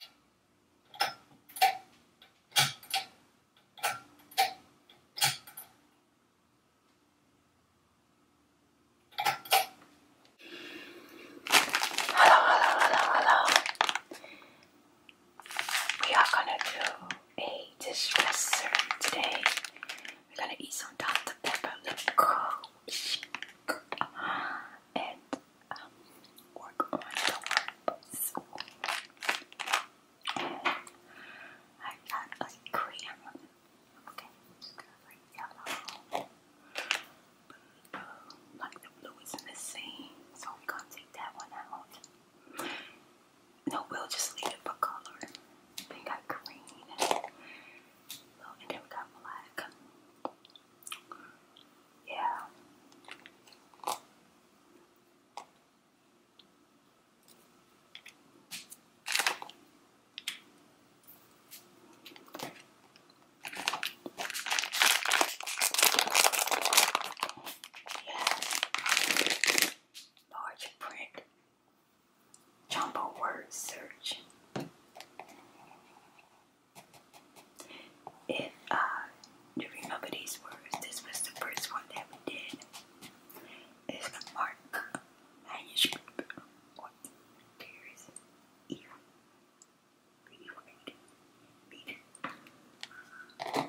Hello, hello, hello, hello. We are gonna do a distress today. We're gonna eat some Dr. Pepper lip gloss and um, work I got like cream. Okay, yellow. Blue. Like the blue is missing, so we're to take that one out. No, we'll just leave it for color. We got green, and then we got black. Yeah. Yes. Large print. Jumbo word search. If you remember these words, this was the first one that we did. It's the mark manuscript what appears here. Read, read, read.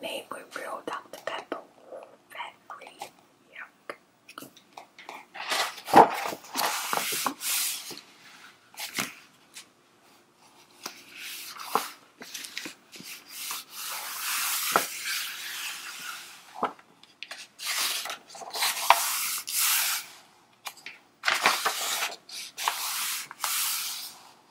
Made with real Dr. Pepper, fat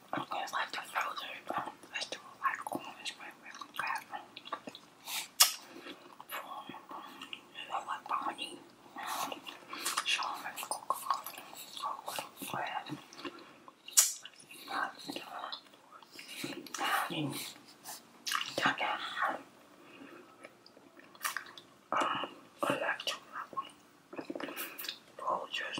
It's like the frozen um, like orange, red, red, and crab. You know what, Bonnie? Sean, I'm cook coffee, cocoa, bread. Not the Tap that hard. Um, electric. Rollers.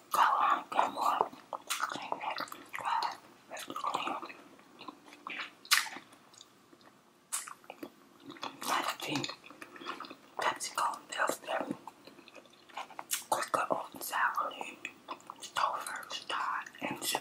Got one, got more. Clean it, dry it, make it clean. Nice thing. PepsiCo, Pillsbury. Quicker oat Stover, star, and sugar.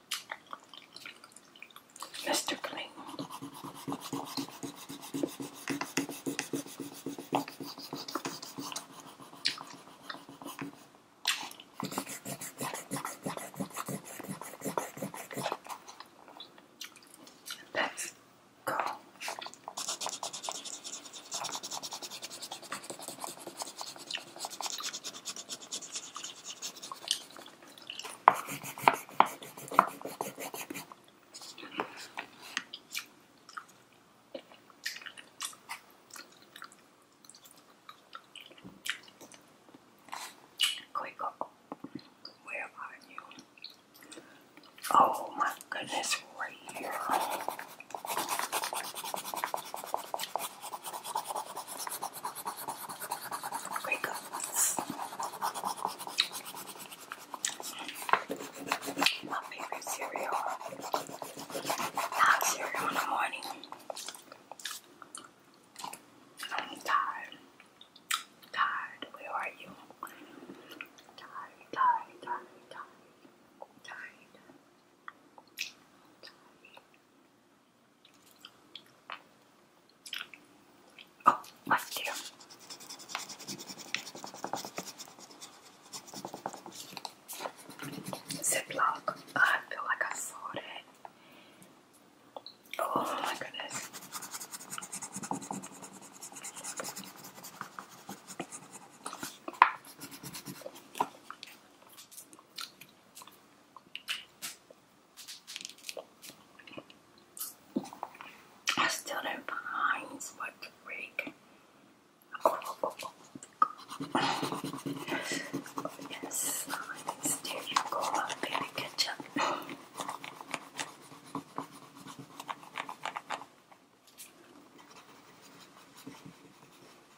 Mr. Cling. Let's go. Quick, where are you? Oh my goodness, right here. Very My favorite cereal. Not cereal in the morning. I'm tired. Tired. Where are you? tired, tired, tired. Tired. Oh, what's there? Ziploc. I feel like I saw that. Oh my goodness. I still don't find what to break. yes, There you go, my baby ketchup.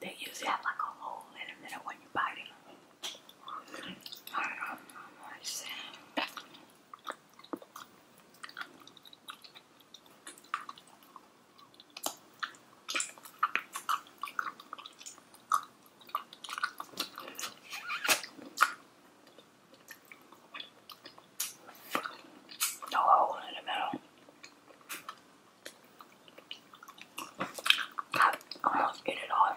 They usually have like a hole in the middle when you bite I don't know what to no hole in the middle. I almost get it all.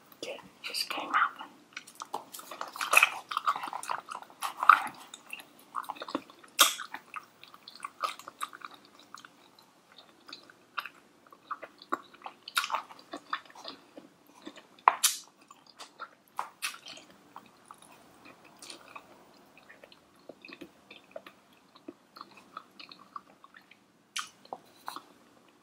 Okay, this came out.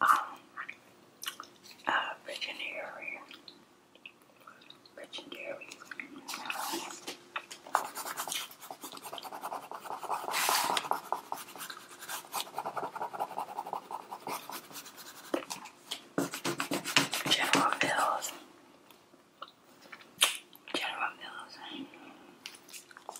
um, uh, legendary. General Mills. General Mills.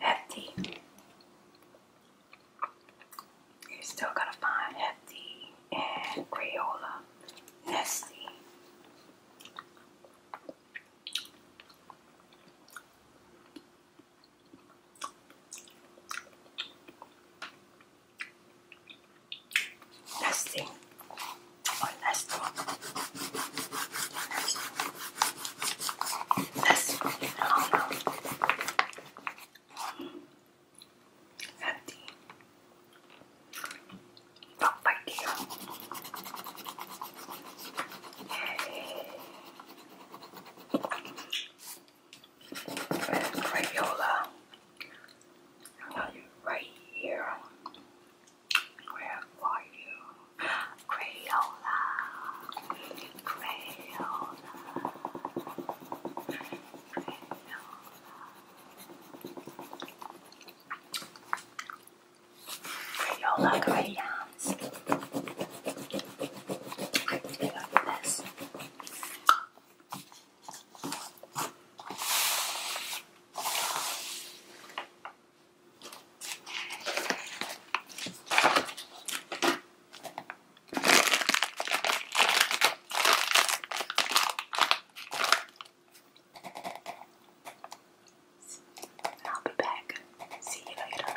Hefty. You're still gonna find Hefty and Crayola. Nesty. Last thing. One oh, last thing. Last thing. Oh no. It's empty. Don't fight here. Yay. Crayola. Now you right here. Where are you? Crayola. Crayola. Crayola. Crayola crayons. I love this. I'll be back. See you later.